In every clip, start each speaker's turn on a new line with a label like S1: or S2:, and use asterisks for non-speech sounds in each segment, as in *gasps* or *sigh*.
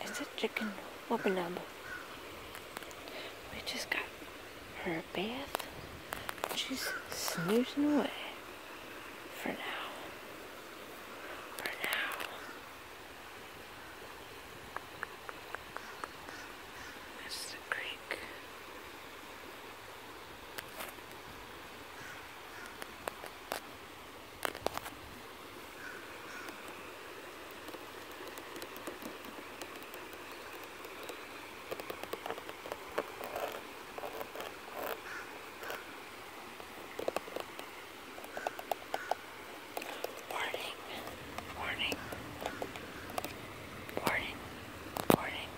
S1: It's a chicken whoopinub. We just got her bath. She's snoozing away for now. For now. That's the creek. Warning, warning, warning, warning.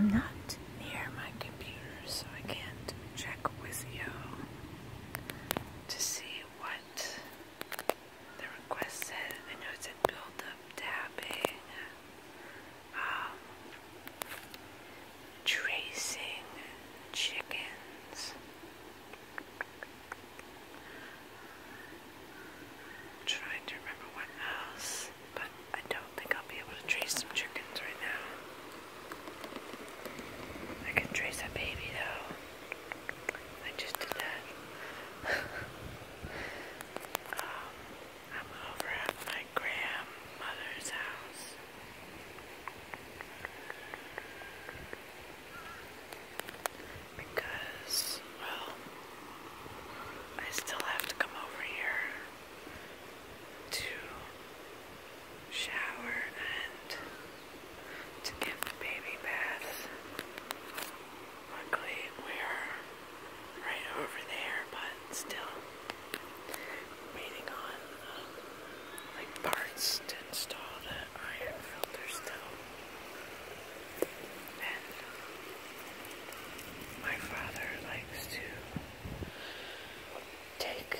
S1: I'm not near my computer, so I can't check with you to see what the request said. I know it said build tapping. Eh? Um, tracing chickens, trying to remember what else, but I don't think I'll be able to trace some chickens right now. I can trace a baby though. I just did that. *laughs* Um, I'm over at my grandmother's house. Because, well, I still have to come over here to shower and to give the baby bath. Luckily, we're right over there, but still waiting on um, parts to install the iron filter still. Um, my father likes to take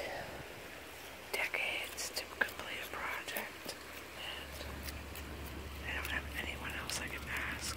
S1: decades to complete a project, and I don't have anyone else I can ask.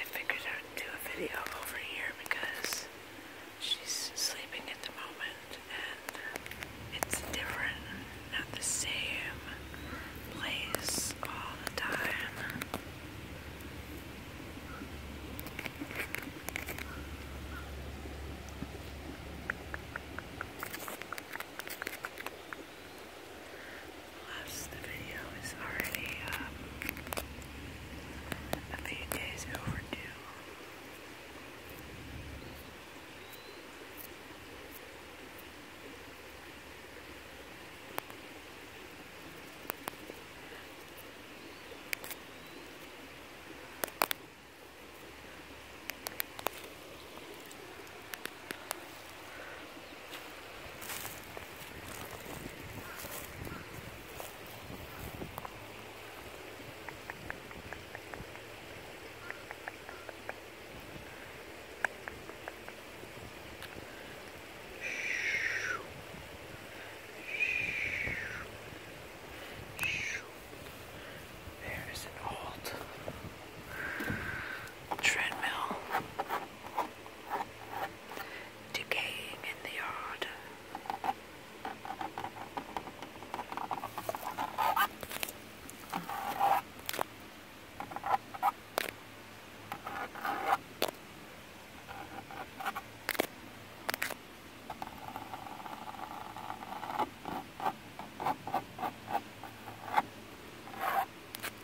S1: I figured I'd do a video over here because she's sleeping at the moment and it's different, not the same place all the time. Plus, the video is already um, a few days overdue. There's an old treadmill decaying in the yard.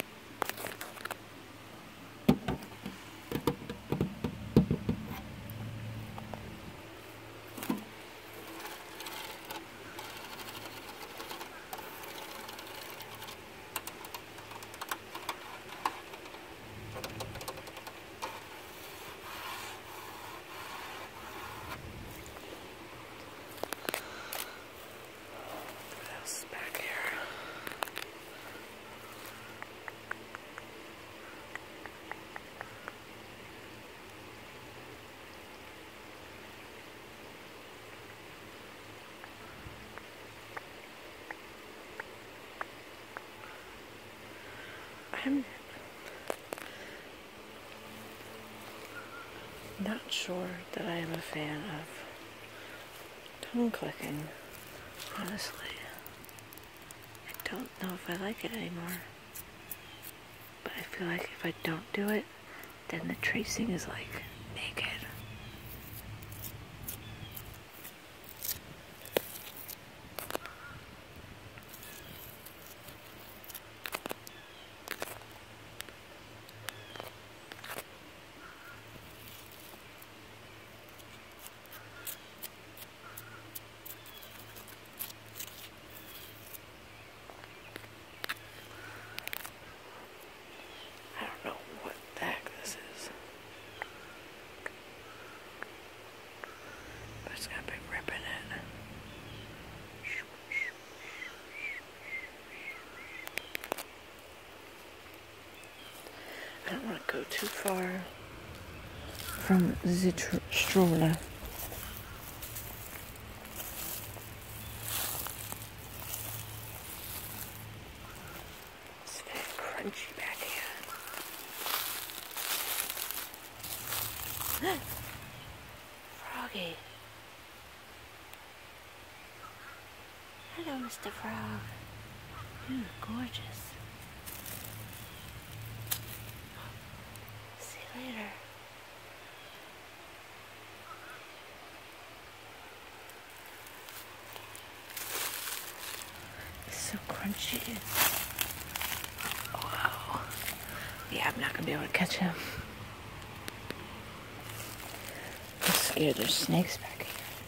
S1: What else is back here? I'm not sure that I am a fan of tongue clicking. Honestly, I don't know if I like it anymore. But I feel like if I don't do it, then the tracing is like naked. I don't know what the heck this is. it's got big rip in I don't want to go too far from the stroller. It's very crunchy back here. *gasps* Froggy. Hello, Mr. Frog. You're gorgeous. See you later. It's so crunchy. Wow. Yeah, I'm not gonna be able to catch him. I'm scared there's snakes back here.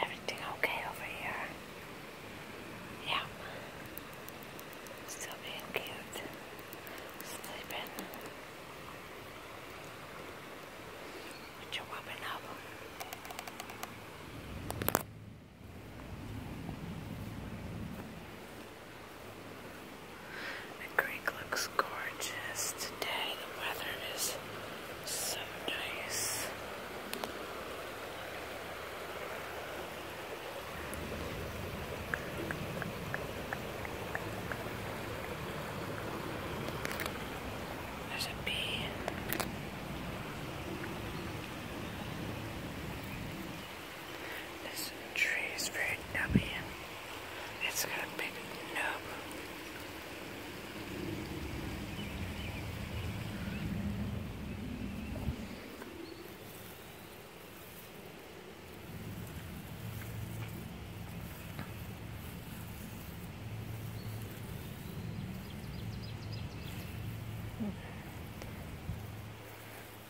S1: Everything okay over here? Yeah. Still being cute sleeping with up. The creek looks gorgeous today. The weather is so nice. There's a bee. This tree is very nubby. It's got big nub.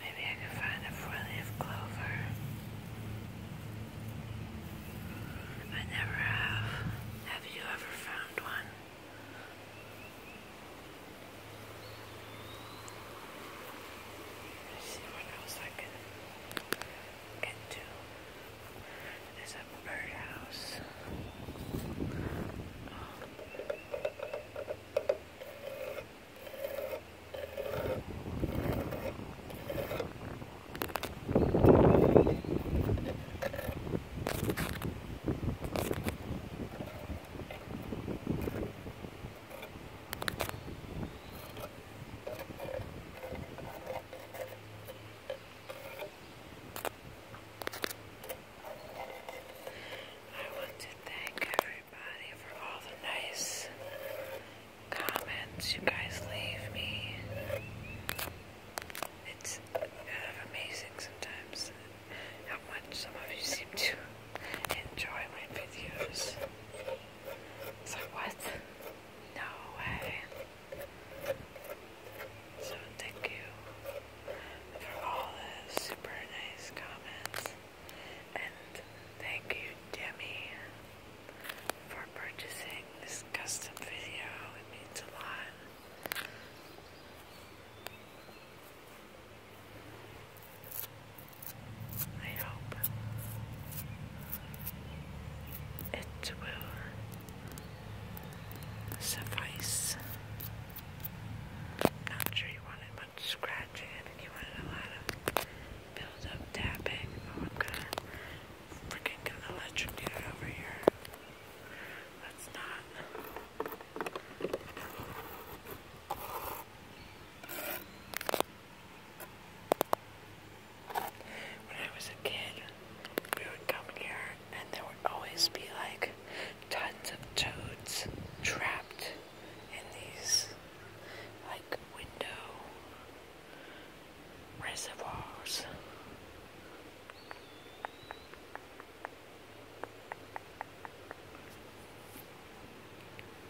S1: Maybe I can find a four-leaf clover. I never have. Have you ever found one? Let's see what else I can and two is a birdhouse. Um, I want to thank everybody for all the nice comments you guys leave me. It's kind uh, of amazing sometimes how much some of you seem to enjoy my videos. It's like, what? No way. So, thank you for all the super nice comments. And thank you, Demi, for purchasing this custom video. It means a lot. I hope it will suffice. Not sure you wanted much scratching. I you wanted a lot of build tapping. Oh, I'm gonna freaking gonna electrocute it over here. That's not. When I was a kid, we would come here and there would always be like tons of toads trapped in these like window reservoirs.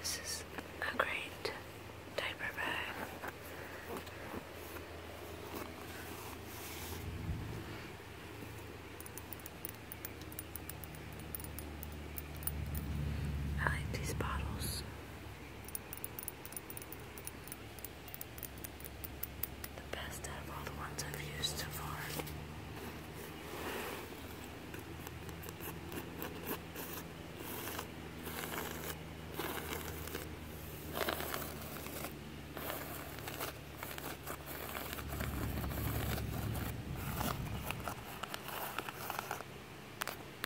S1: This is a great diaper bag. I these bottles. The best out of all the ones I've used so far.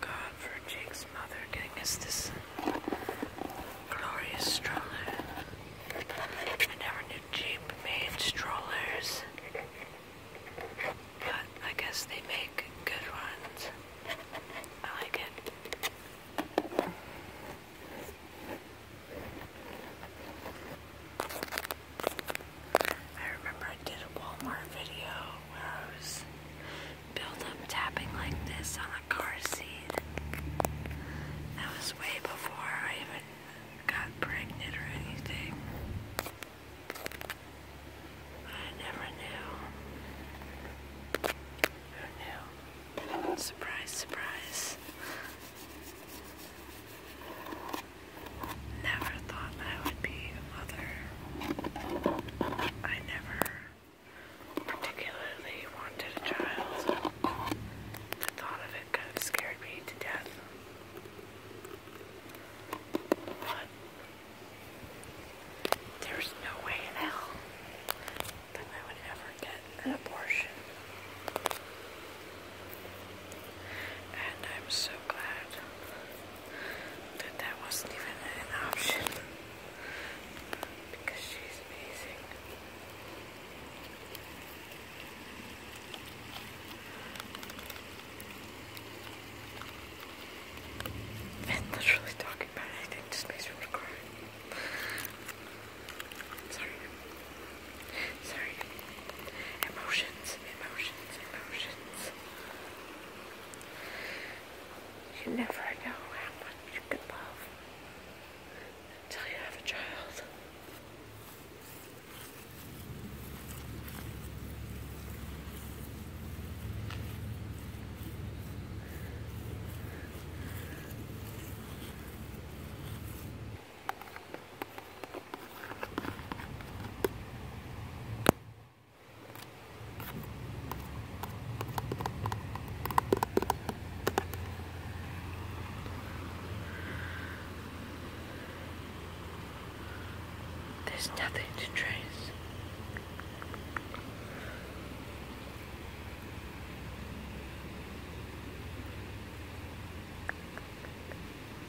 S1: God for Jake's mother getting us this uh, glorious stroller. I never knew Jeep made strollers. But I guess they make good ones. I like it. I remember I did a Walmart video where I was built up tapping like this on a car seat. That was way before I even got pregnant or anything. I never knew. Who knew? Surprise, surprise never thought I would be a mother. I never particularly wanted a child. The thought of it kind of scared me to death. But there's no way in hell that I would ever get an abortion. And I'm so glad that that wasn't even an option because she's amazing. And literally talking about anything just makes me cry. Sorry. Sorry. Emotions, emotions, emotions. You never know how much you can love until you have a child. There's nothing to trace.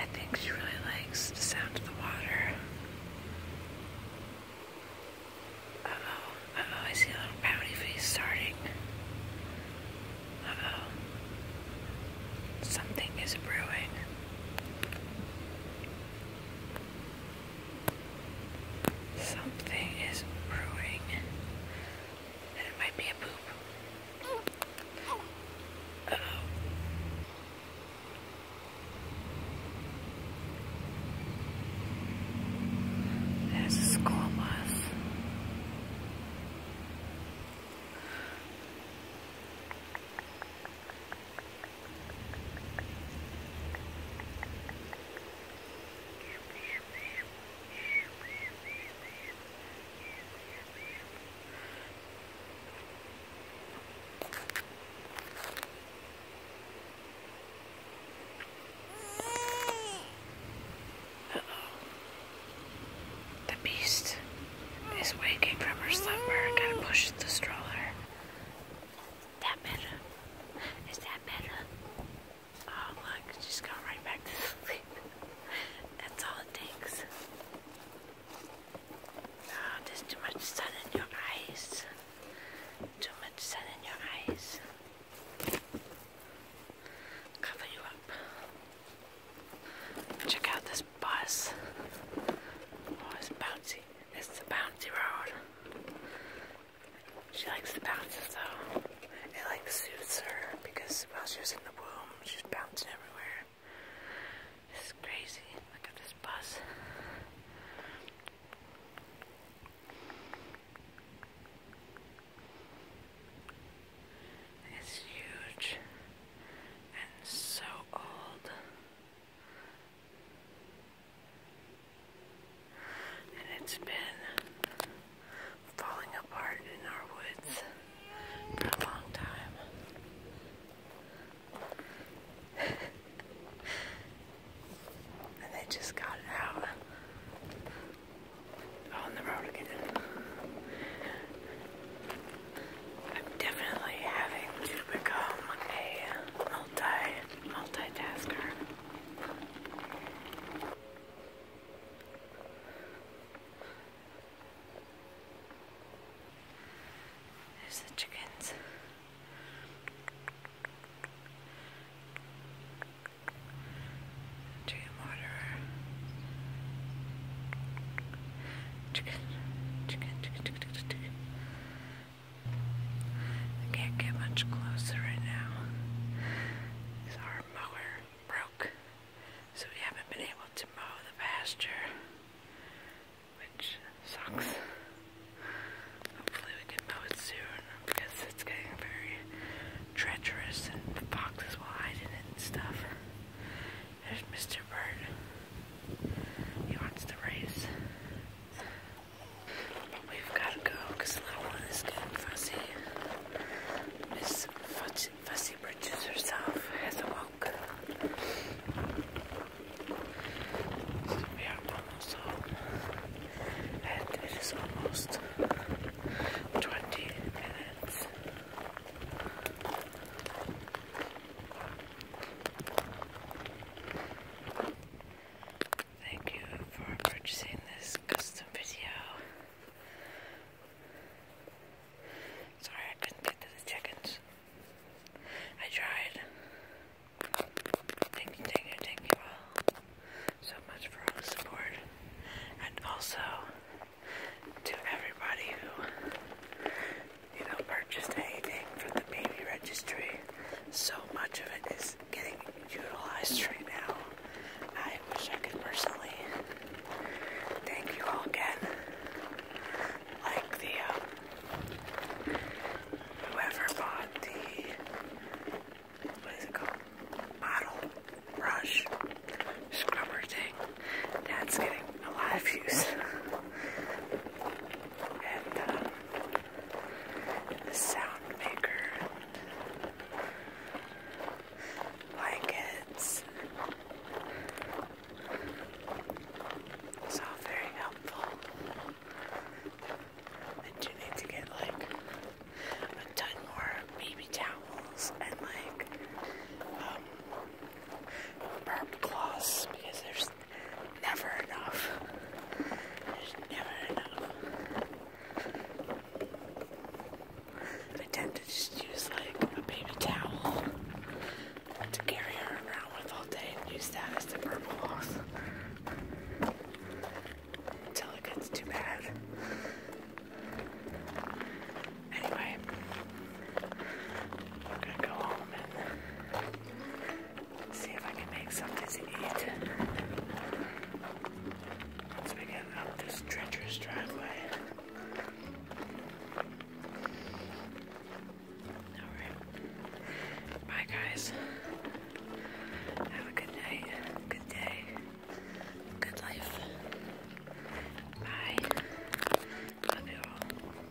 S1: I think she really likes the sound of the water. Uh oh, uh oh, I see a little pouty face starting. Uh oh. Something is brewing. Something is brewing. And it might be a poop. oh. There's a school uh -oh. The beast is waking from her slumber. and gotta push the stroller that better? Is that better? Oh look, she's right back to *laughs* sleep. That's all it takes. Oh, there's too much sun in your eyes. Too much sun in your eyes. Cover you up. Check out this bus. Oh, bouncy. It's the bouncy road. She likes the bounces though. It like suits her because while she was in the womb, she's bouncing everywhere. This is crazy. Look at this bus. It's huge and so old. And it's been falling apart in our woods for a long time. *laughs* and they just got out on the road again. definitely having to become a multi multitasker. There's the chickens. Chicken waterer. Chicken. Chicken, chicken, chicken, chicken, chicken. I can't get much closer right now. our mower broke, so we haven't been able to mow the pasture, which sucks. Hopefully we can mow it soon because it's getting very treacherous and the foxes will hide in it and stuff. There's Mr. Bird. He wants to race we've got to go because the little one is getting fussy. Miss Fussy, fussy Bridges herself has awoke. So we almost home. And it is almost 20 minutes. Thank you for purchasing this custom video. Sorry I couldn't get to the chickens. I tried. Thank you, thank so much for all the support. And also to everybody who you know, purchased anything from the baby registry. So much of it is getting utilized right now. I wish I could personally thank you all again. Like the, um, whoever bought the, what is it called? Model brush scrubber thing. That's getting a lot of use and uh, the sound maker blankets. It's all very helpful. I do need to get like a ton more baby towels and like um burp cloths because there's never enough. There's never enough. to just use like a baby towel to carry her around with all day and use that as the purple off until it gets too bad. Anyway, I'm gonna go home See if I can make something to eat. Once we get up this treacherous driveway. Alright. Bye guys. Have a good night. Good day. Good life. Bye. Love you all.